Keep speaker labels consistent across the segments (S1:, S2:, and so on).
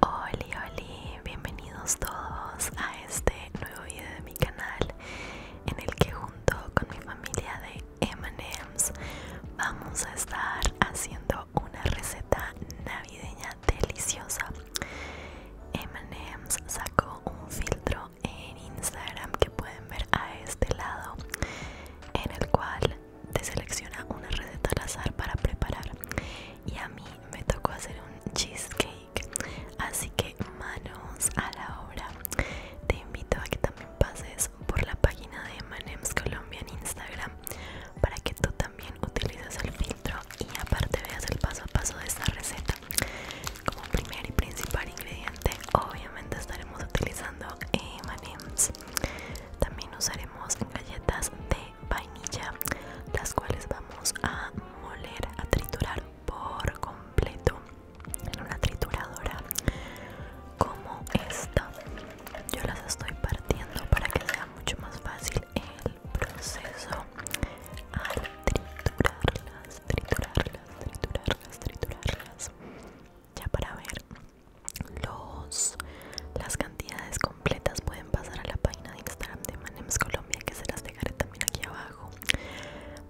S1: Hola hola, bienvenidos todos a este nuevo video de mi canal en el que junto con mi familia de M&M's vamos a estar haciendo una receta navideña deliciosa. M&M's sacó un filtro en Instagram que pueden ver a este lado en el cual te selecciona una receta al azar para preparar y a mí me tocó hacer un cheesecake así que manos a la obra te invito a que también pases por la página de Manems Colombia en Instagram para que tú también utilices el filtro y aparte veas el paso a paso de esta receta como primer y principal ingrediente obviamente estaremos utilizando Emanems. también usaremos galletas de vainilla, las cuales vamos a moler, a triturar por completo en una trituradora como esta. Yo las estoy partiendo para que sea mucho más fácil el proceso al triturarlas, triturarlas, triturarlas, triturarlas. Ya para ver los, las cantidades completas pueden pasar a la página de Instagram de Manems Colombia que se las dejaré también aquí abajo.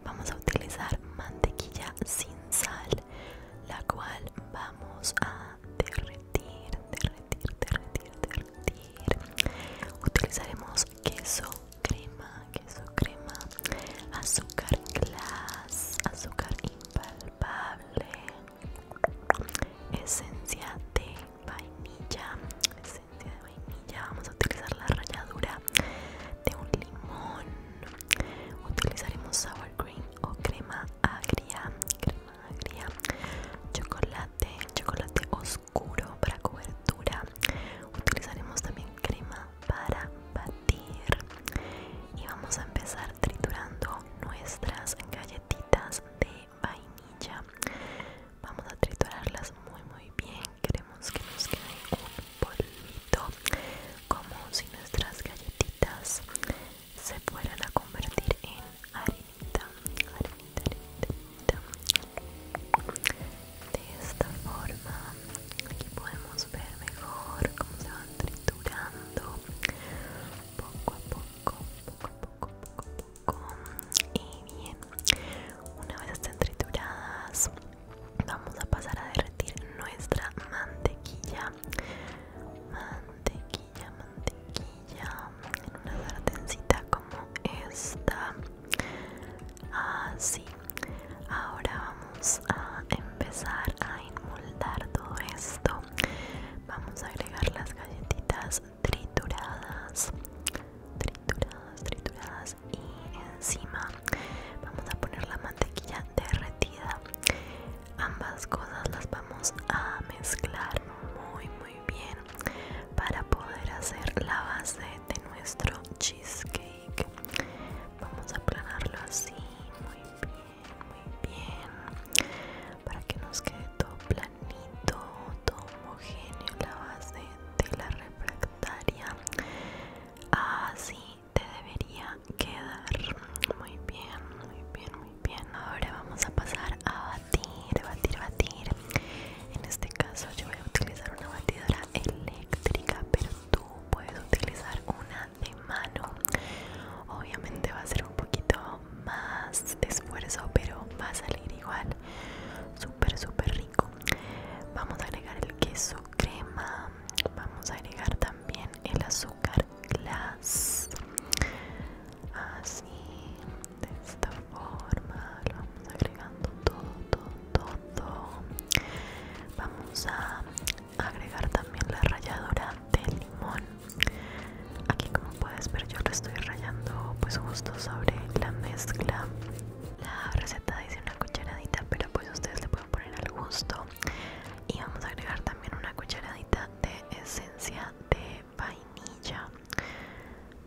S1: Vamos a utilizar mantequilla sin sal, la cual vamos a derretir, derretir, derretir, derretir. Utilizaremos queso, crema, queso, crema, azúcar glass, azúcar impal, esencia de vainilla esencia de vainilla vamos a utilizar la ralladura de un limón utilizaremos sour cream o crema agria crema agria chocolate chocolate oscuro para cobertura utilizaremos también crema para batir y vamos a empezar triturando nuestras galletitas de vainilla vamos a triturarlas muy muy bien queremos que nos quede un polvito como si nuestras galletitas se fueran a convertir en arenita de esta forma aquí podemos ver mejor cómo se van triturando poco a poco, poco a poco, poco poco. Y bien, una vez estén trituradas, vamos a pasar a derretir nuestra mantequilla. Mantequilla, mantequilla, en una sartencita como esta. Así. Ahora vamos a empezar a inmoldar todo esto vamos a agregar las galletitas trituradas trituradas trituradas y encima vamos a poner la mantequilla derretida ambas cosas las vamos a mezclar muy muy bien para poder hacer la base de nuestro cheesecake vamos a planarlo así muy bien muy bien para que nos quede todo planito todo homogéneo la base de la refractaria así te debería quedar muy bien muy bien muy bien ahora vamos a pasar a batir batir batir en este caso yo voy a utilizar una batidora eléctrica pero tú puedes utilizar una de mano. Obviamente va a ser un poquito más esfuerzo, pero va a salir igual. Súper, súper rico. Vamos a agregar el queso crema. Vamos a agregar también el azúcar glass. Así, de esta forma, lo vamos agregando todo, todo, todo. Vamos a agregar también la ralladora de limón aquí como puedes ver yo lo estoy rayando pues justo sobre la mezcla la receta dice una cucharadita pero pues ustedes le pueden poner al gusto y vamos a agregar también una cucharadita de esencia de vainilla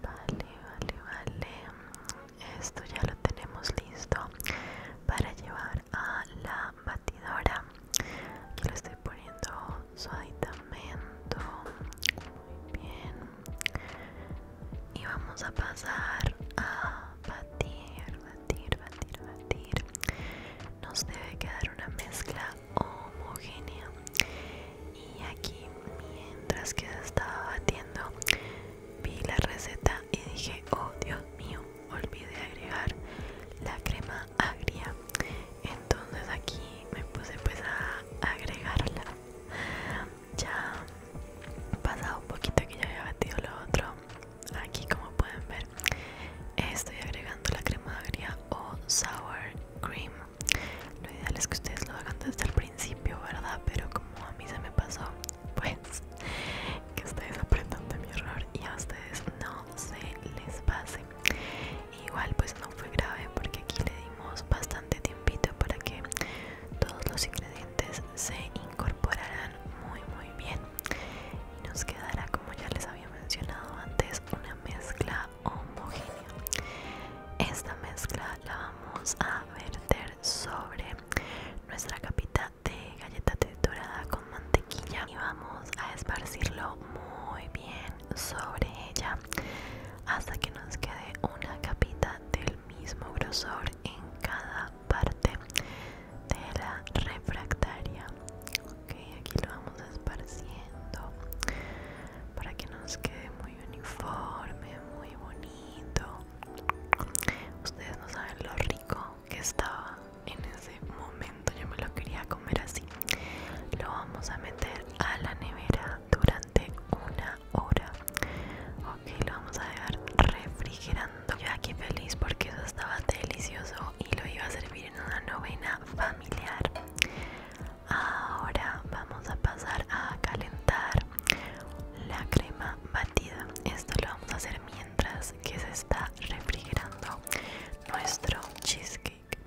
S1: vale vale vale esto ya lo tenemos listo para llevar a la batidora aquí le estoy poniendo su muy bien y vamos a pasar a batir batir batir batir nos debe quedar una mezcla homogénea y aquí mientras que estaba batiendo vi la receta y dije oh dios mío olvidé agregar la crema agria entonces aquí me puse pues a agregarla ya pasado un poquito que ya había batido lo otro aquí como pueden ver estoy agregando la crema agria o sour cream lo ideal es que ustedes lo hagan desde el principio verdad pero como a mí se me pasó pues que ustedes aprendan de mi error y a ustedes no se les pase. Igual pues no fue grave porque aquí le dimos bastante tiempito para que todos los ingredientes se incorporaran muy muy bien. Y nos quedará como ya les había mencionado antes una mezcla homogénea. Esta mezcla la vamos a verter sobre nuestra capita de galleta texturada con mantequilla y vamos a esparcirlo muy bien sobre ella hasta que nos quede una capita del mismo grosor en cada parte de la refractaria. Ok, aquí lo vamos esparciendo para que nos quede muy uniforme, muy bonito. Ustedes no saben lo rico que estaba en ese momento. Yo me lo quería comer así. Lo vamos a meter a la nevera durante una hora. Ok, lo vamos a dejar refrigerando. Yo aquí feliz porque eso estaba delicioso y lo iba a servir en una novena familiar. Ahora vamos a pasar a calentar la crema batida esto lo vamos a hacer mientras que se está refrigerando nuestro cheesecake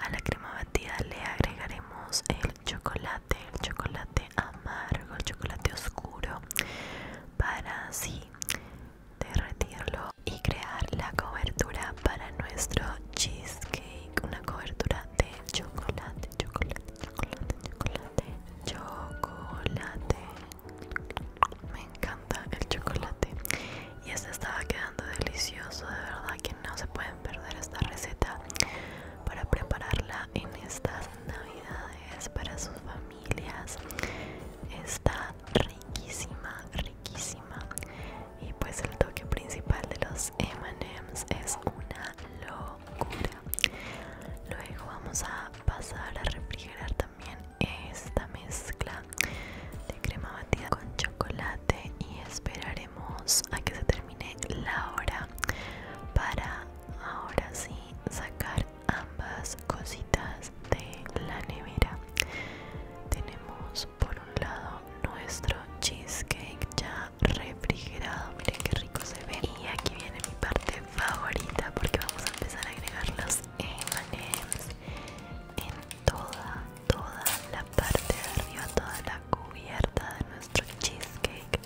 S1: a la crema batida le agregaremos el chocolate el chocolate amargo el chocolate oscuro para así derretirlo y crear la cobertura para nuestro cheesecake una cobertura de chocolate chocolate chocolate, chocolate, chocolate. Me encanta el chocolate. Y este estaba quedando delicioso, de verdad que no se pueden perder esta receta para prepararla en estas navidades para sus familias. Está riquísima, riquísima. Y pues el toque principal de los MMs es una loca luego vamos a pasar a refrigerar también esta mezcla de crema batida con chocolate y esperaremos a que se termine la hora para ahora sí sacar ambas cositas de la nevera tenemos por un lado nuestro cheesecake ya refrigerado miren qué rico se ve y aquí viene mi parte favorita porque vamos a empezar a agregar los M&M's en toda toda la parte de arriba toda la cubierta de nuestro cheesecake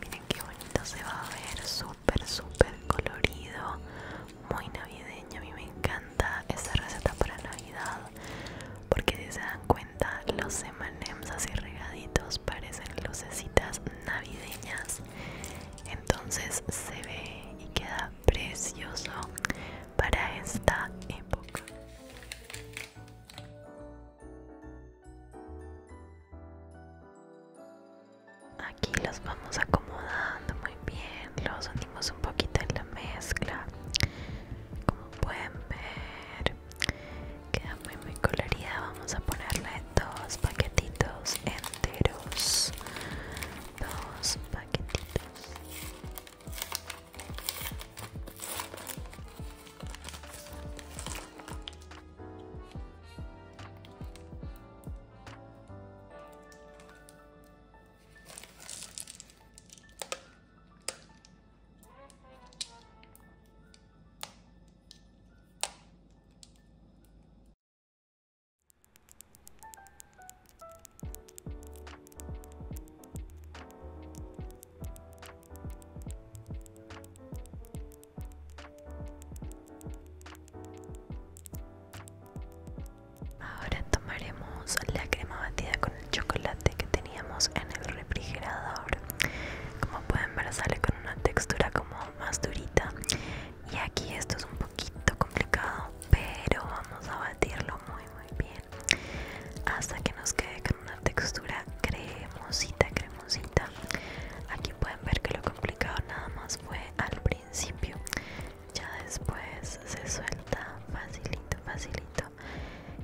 S1: miren qué bonito se va a ver súper súper colorido muy navideño a mí me encanta esta receta para navidad porque si se dan cuenta los M&M's así regaditos parecen lucecitas navideñas entonces se ve y queda precioso para esta época aquí los vamos acomodando muy bien los unimos un poquito en la mezcla como pueden ver queda muy muy colorida vamos a ponerle dos paquetitos enteros dos paquetitos Ahora tomaremos la crema batida con chocolate que teníamos en el refrigerador como pueden ver sale con una textura como más durita y aquí esto es un poquito complicado pero vamos a batirlo muy muy bien hasta que nos quede con una textura cremosita cremosita aquí pueden ver que lo complicado nada más fue al principio ya después se suelta facilito facilito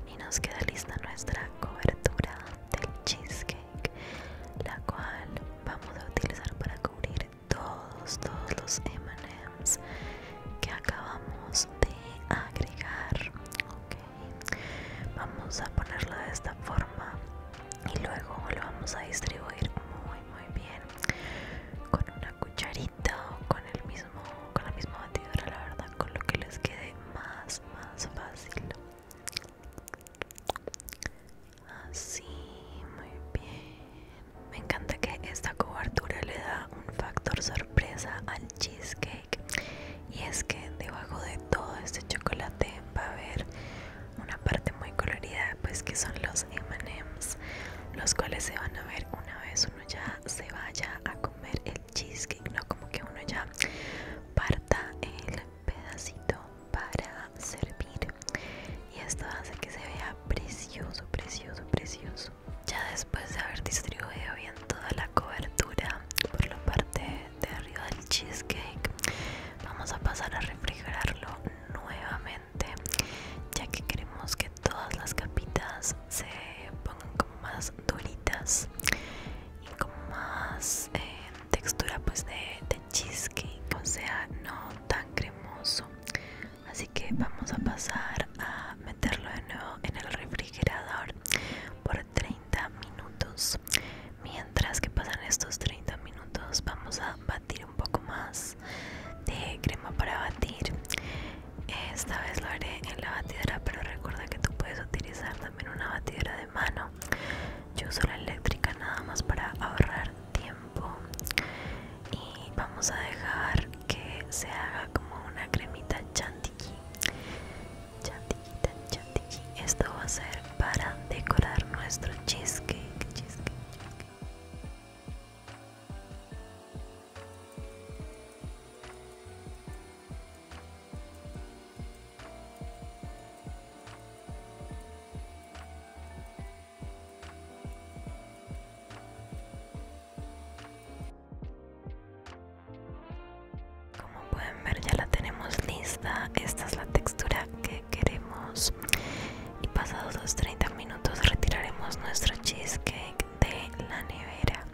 S1: y nos queda lista nuestra cobertura del cheesecake la cual vamos a utilizar para cubrir todos todos los M&M's que acabamos de agregar vamos a ponerlo de esta forma y luego lo vamos a distribuir muy muy bien con una cucharita o con el mismo con la misma batidora, la verdad, con lo que les quede más, más fácil. Así, muy bien. Me encanta que esta cobertura le da un factor sorpresa al cheesecake. Y es que debajo de todo este chocolate va a haber una parte muy colorida, pues que son los MMs, los cuales se van a ver una vez uno ya se vaya a comer el cheesecake, ¿no? Como que uno ya parta el pedacito para servir y esto hace que se vea precioso, precioso, precioso. Ya después de haber distribuido bien toda la cobertura por la parte de arriba del cheesecake, vamos a pasar a refrigerarlo nuevamente ya que queremos que todas las capitas se pongan como más duritas y como más eh, textura pues de, de cheesecake o sea no tan cremoso así que vamos a pasar a meterlo de nuevo en el refrigerador por 30 minutos mientras que pasan estos 30 minutos vamos a batir un poco más de crema para batir esta vez lo haré en la batidora, pero recuerda que tú puedes utilizar también una batidora de mano. Yo uso la eléctrica nada más para ahorrar tiempo. Y vamos a dejar que se haga como una cremita chantilly. Chantilly, Esto va a ser para decorar nuestro cheesecake. cheesecake. Como pueden ver ya la tenemos lista, esta es la textura que queremos y pasados los 30 minutos retiraremos nuestro cheesecake de la nevera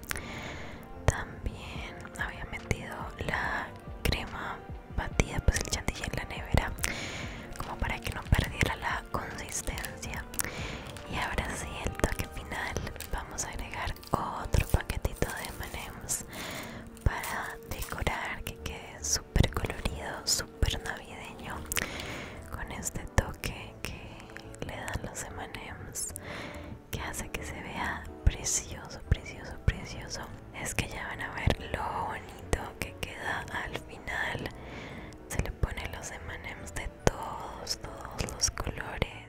S1: también había metido la crema batida pues el chantilly en la nevera como para que no perdiera la consistencia y ahora sí el toque final vamos a agregar otro paquetito de manems para decorar que quede súper colorido súper navideño con este toque que le dan los M&M's que hace que se vea precioso, precioso, precioso. Es que ya van a ver lo bonito que queda al final. Se le pone los M&M's de todos, todos los colores.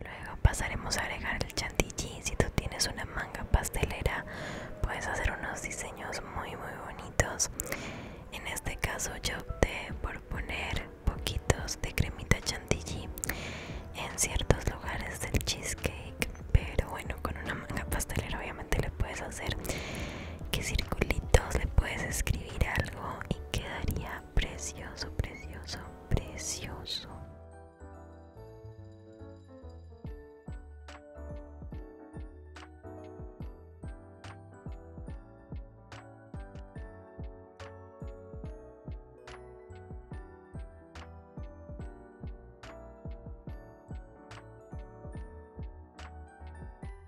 S1: Luego pasaremos a agregar el chantilly. Si tú tienes una manga pastelera, puedes hacer unos diseños muy muy bonitos. En este caso yo opté por poner poquitos de cremita chantilly en ciertos lugares del cheesecake. Pero bueno, con una manga pastelera obviamente le puedes hacer que circulitos, le puedes escribir algo y quedaría precioso, precioso, precioso.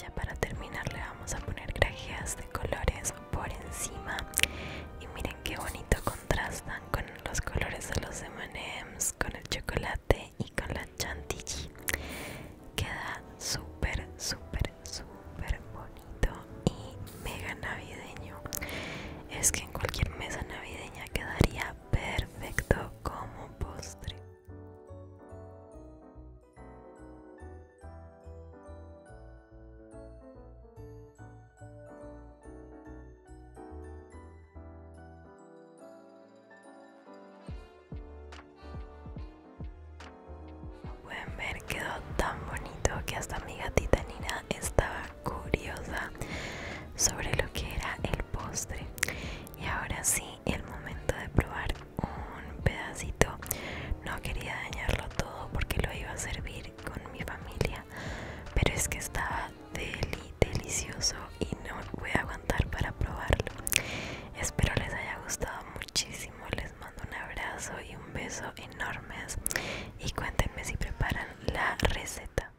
S1: Ya para terminar le vamos a poner grajeas de colores por encima y miren qué bonito contrastan con los colores de los M&M's, con el chocolate y con la chantilly. Queda súper, súper, súper bonito y mega navideño. Es que en cualquier mesa navideña quedaría perfecto como postre. Pueden ver, quedó tan bonito que hasta mi gatita Nina estaba curiosa sobre lo que era el postre. Y ahora sí, el momento de probar un pedacito. No quería dañarlo todo porque lo iba a servir con mi familia, pero es que estaba delicioso y no voy a aguantar para probarlo. Espero les haya gustado muchísimo. Les mando un abrazo y un beso enormes y cuéntenme si preparan la receta.